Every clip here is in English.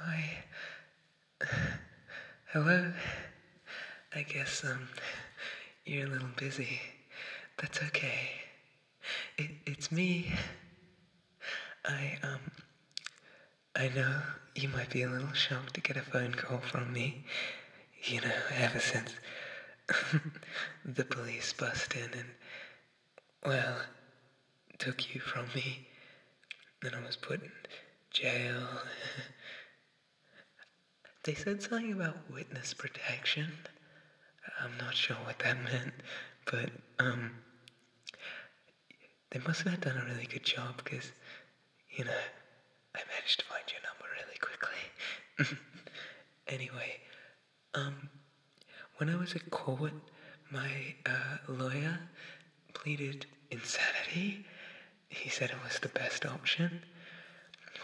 Hi. Hello. I guess, um, you're a little busy. That's okay. it's me. I, um, I know you might be a little shocked to get a phone call from me. You know, ever since the police busted and well, took you from me. Then I was put in jail. they said something about witness protection. I'm not sure what that meant, but um, they must have done a really good job because, you know, I managed to find your number really quickly. anyway, um, when I was at court, my uh, lawyer pleaded insanity. He said it was the best option,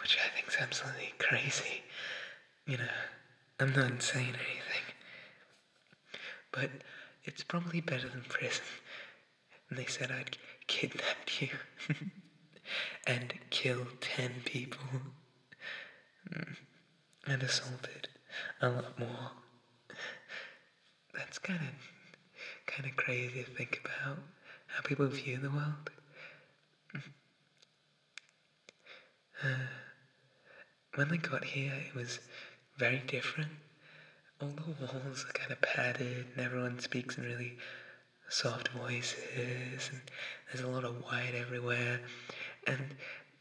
which I think is absolutely crazy. You know, I'm not insane or anything. But it's probably better than prison. they said I'd kidnap you and kill ten people. Hmm and assaulted a lot more. That's kind of kind of crazy to think about how people view the world. Uh, when I got here, it was very different. All the walls are kind of padded, and everyone speaks in really soft voices, and there's a lot of white everywhere. And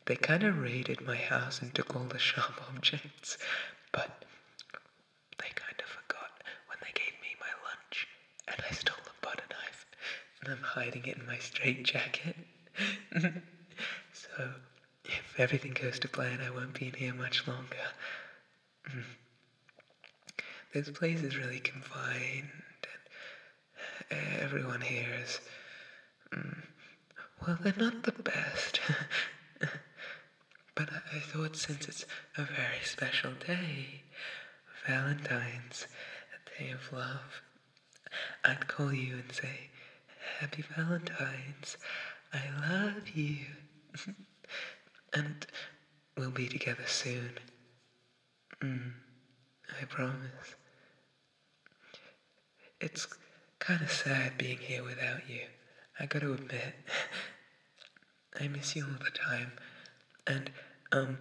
they kind of raided my house and took all the sharp objects, but they kind of forgot when they gave me my lunch and I stole the butter knife and I'm hiding it in my straitjacket. so, if everything goes to plan, I won't be in here much longer. this place is really confined, and everyone here is. Mm, well, they're not the best. but I thought since it's a very special day, Valentine's, a day of love, I'd call you and say, Happy Valentine's, I love you. and we'll be together soon. Mm, I promise. It's kind of sad being here without you, I gotta admit. I miss you all the time. And, um,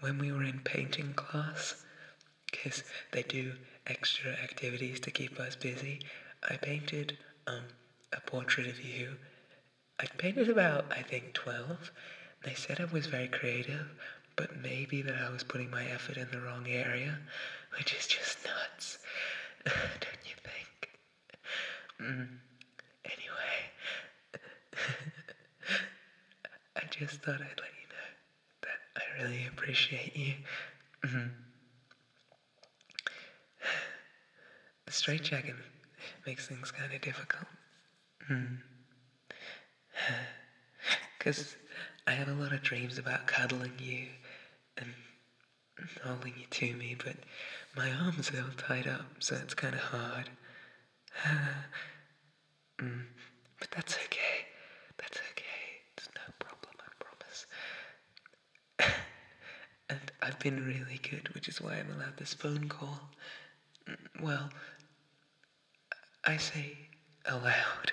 when we were in painting class, because they do extra activities to keep us busy, I painted, um, a portrait of you. I painted about, I think, 12. They said I was very creative, but maybe that I was putting my effort in the wrong area, which is just nuts, don't you think? Mm. Anyway, I just thought I'd let you know that I really appreciate you. Mm. The makes things kind of difficult. Mm. Because I have a lot of dreams about cuddling you and holding you to me, but my arms are all tied up, so it's kind of hard. Mm, but that's okay. That's okay. It's no problem, I promise. and I've been really good, which is why I'm allowed this phone call. Mm, well, I say aloud.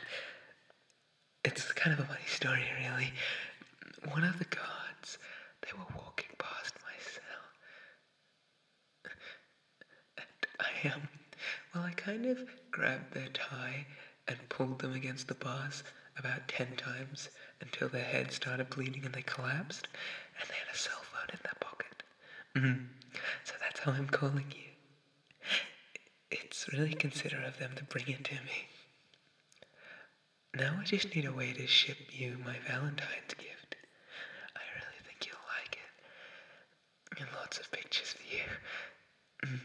It's kind of a funny story, really. One of the guards, they were walking past my cell. And I, am. well, I kind of grabbed their tie and pulled them against the bars about ten times until their head started bleeding and they collapsed, and they had a cell phone in their pocket. Mm-hmm. So that's how I'm calling you. It's really considerate of them to bring it to me. Now I just need a way to ship you my Valentine's gift. I really think you'll like it. And lots of pictures for you. Mm.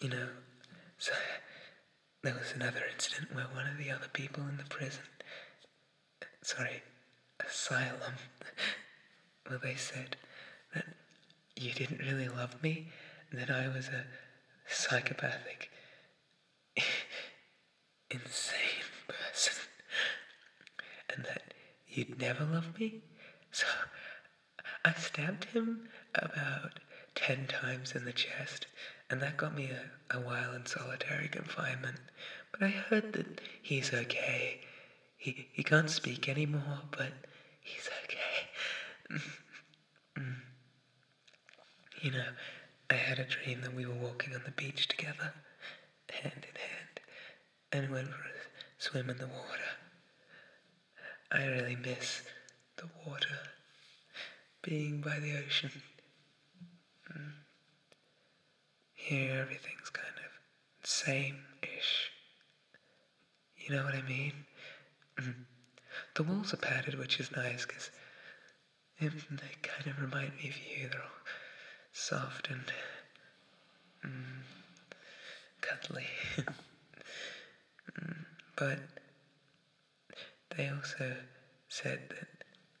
you know, there was another incident where one of the other people in the prison sorry, asylum, Well, they said that you didn't really love me and that I was a psychopathic, insane person, and that you'd never love me. So I stabbed him about 10 times in the chest, and that got me a, a while in solitary confinement. But I heard that he's okay he, he can't speak anymore, but he's okay. you know, I had a dream that we were walking on the beach together, hand in hand, and went for a swim in the water. I really miss the water, being by the ocean. Here everything's kind of same ish. You know what I mean? Mm-hmm. the walls are padded, which is nice because they kind of remind me of you. They're all soft and mm, cuddly. Mm, but they also said that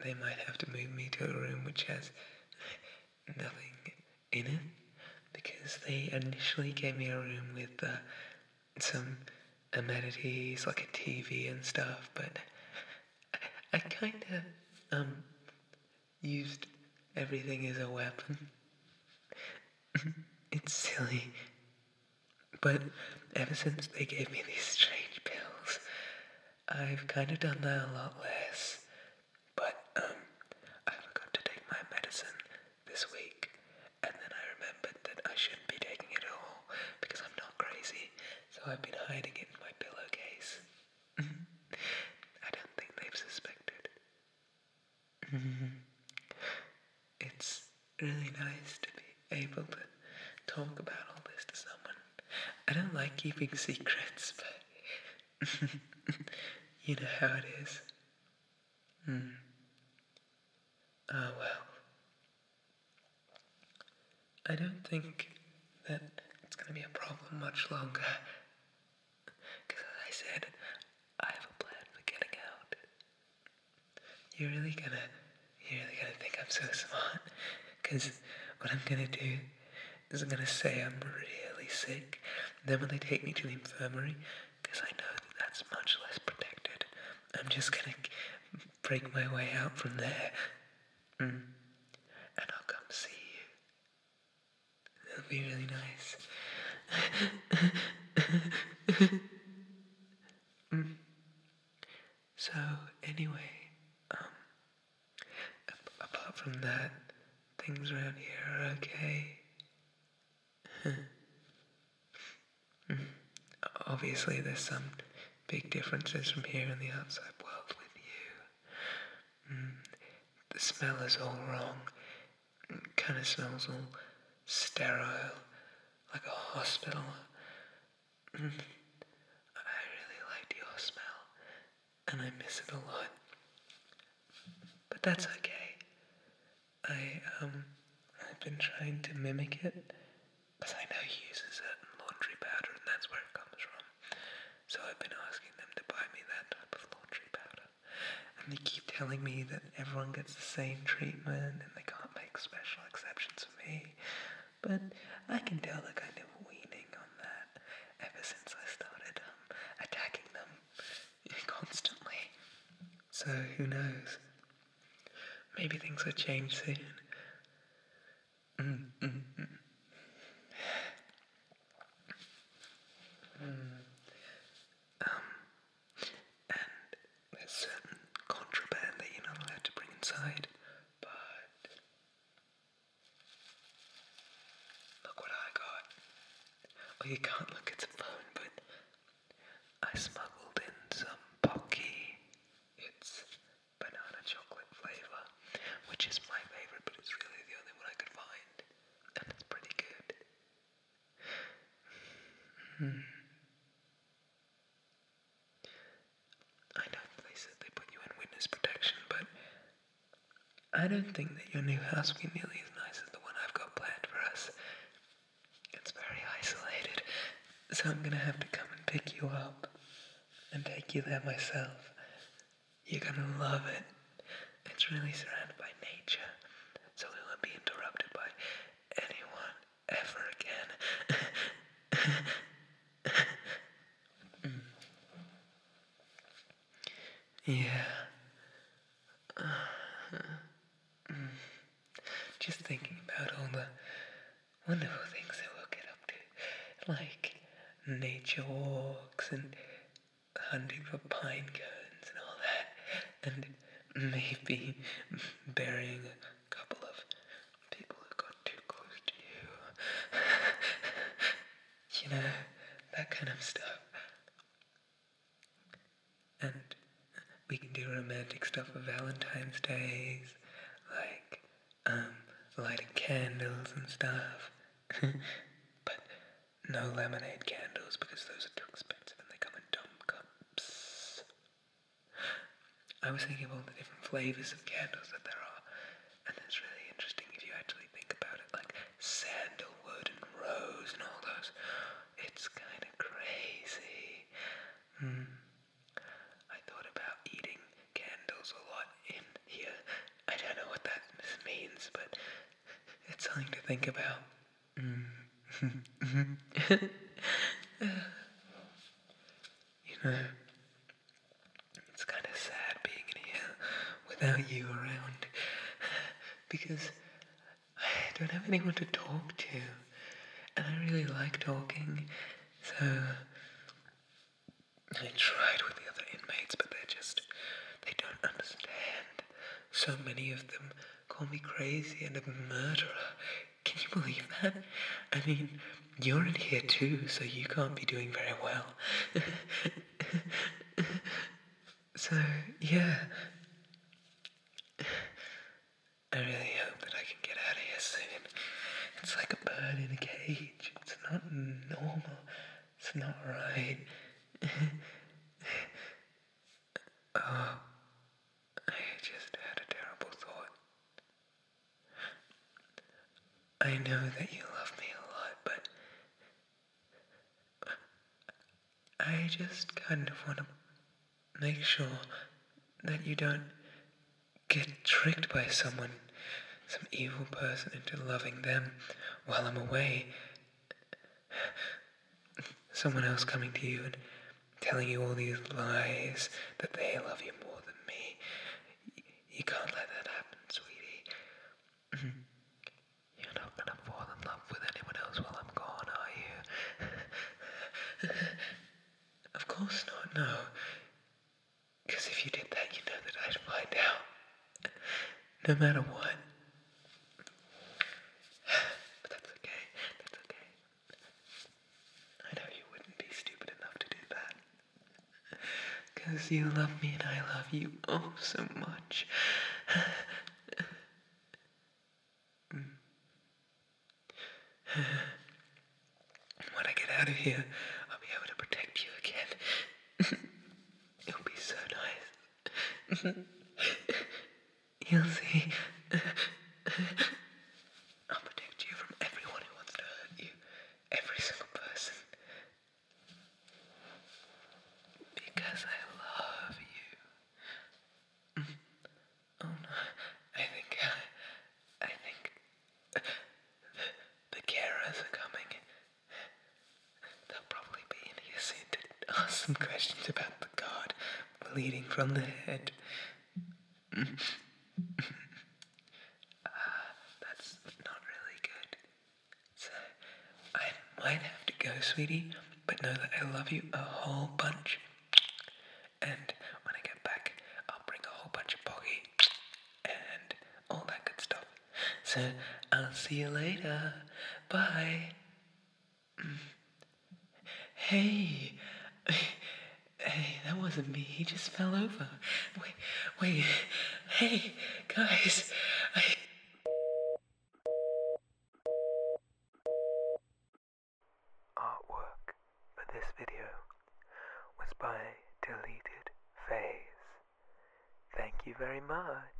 they might have to move me to a room which has nothing in it because they initially gave me a room with uh, some amenities like a TV and stuff, but I, I kind of um used everything as a weapon. it's silly. But ever since they gave me these strange pills, I've kind of done that a lot less. But, um, I forgot to take my medicine this week, and then I remembered that I shouldn't be taking it at all because I'm not crazy, so I've been hiding it in my pillowcase. I don't think they've suspected. it's really nice to be able to talk about all this to someone I don't like keeping secrets, but you know how it is. Hmm. oh, well. I don't think that it's gonna be a problem much longer. Because, as I said, I have a plan for getting out. You're really gonna, you're really gonna think I'm so smart. Because what I'm gonna do is going to say I'm really sick. Then when they take me to the infirmary, because I know that that's much less protected, I'm just going to break my way out from there. Mm. And I'll come see you. It'll be really nice. Mm. So, anyway, um, apart from that, things around here are okay. Obviously, there's some big differences from here in the outside world with you. Mm, the smell is all wrong. It Kind of smells all sterile, like a hospital I really liked your smell, and I miss it a lot. But that's okay. I, um, I've been trying to mimic it, because I know he uses it laundry powder, and that's where it comes from. So I've been asking them to buy me that type of laundry powder. And they keep telling me that everyone gets the same treatment, and they can't make special exceptions for me. But I can tell the kind of weaning on that ever since I started um, attacking them constantly. So who knows? Maybe things will change soon. Mm, mm, mm. Um, and there's certain contraband that you're not allowed to bring inside, but Look what I got. Oh, you can't look at the phone, but I smuggled in some Pocky. It's banana chocolate flavour, which is my favourite, but it's really the only one I could find, and it's pretty good. Hmm. I know they said they put you in witness protection, but I don't think that your new house will be nearly as nice as the one I've got planned for us. It's very isolated, so I'm gonna have to come and pick you up and take you there myself. You're gonna love it. It's really surrounded by nature, so we won't be interrupted by anyone ever again. yeah. just thinking about all the wonderful things that we'll get up to, like nature walks and hunting for pine cones and all that, and maybe burying couple of people who got too close to you. you know, that kind of stuff. And we can do romantic stuff for Valentine's Days, like um, lighting candles and stuff. but no lemonade candles because those are too expensive and they come in dumb cups. I was thinking of all the different flavors of candles that there are, and it's really interesting if you actually think about it, like sandalwood and rose and all those. It's kind of crazy. Hmm. I thought about eating candles a lot in here. I don't know what that means, but it's something to think about. Hmm. Uh, you know, it's kind of sad being in here without you around because I don't have anyone to talk to, and I really like talking, so I tried with the other inmates, but they're just, they don't understand. So many of them call me crazy and a murderer can you believe that? I mean, you're in here too, so you can't be doing very well. so, yeah. I really hope that I can get out of here soon. It's like a bird in a cage. It's not normal. It's not right. oh, I just had a terrible thought. I know that you love me a lot, but I just kind of want to make sure that you don't get tricked by someone, some evil person, into loving them while I'm away. Someone else coming to you and telling you all these lies that they love you more than me. you can't let that happen, sweetie. You're not gonna fall in love with anyone else while I'm gone, are you? of course not, no. Because if you did that, you know that I'd find out. No matter what. But that's okay. That's okay. I know you wouldn't be stupid enough to do that. Because you love me and I love you oh so much. Mm. when I get out of here, I'll be able to protect you again. It'll be so nice. You'll see. I'll protect you from everyone who wants to hurt you. Every single person. Because I love you. Mm. Oh no, I think, uh, I think the, carers are coming. They'll probably be in ask some questions about the god bleeding from the head. Uh, that's not really good. So, I might have to go, sweetie, but know that I love you a whole bunch. And when I get back, I'll bring a whole bunch of boggy and all that good stuff. So, I'll see you later. Bye. Mm. Hey. Hey, that wasn't me. He just fell over. Wait, wait. Hey, guys. I... Artwork for this video was by Deleted Phase. Thank you very much.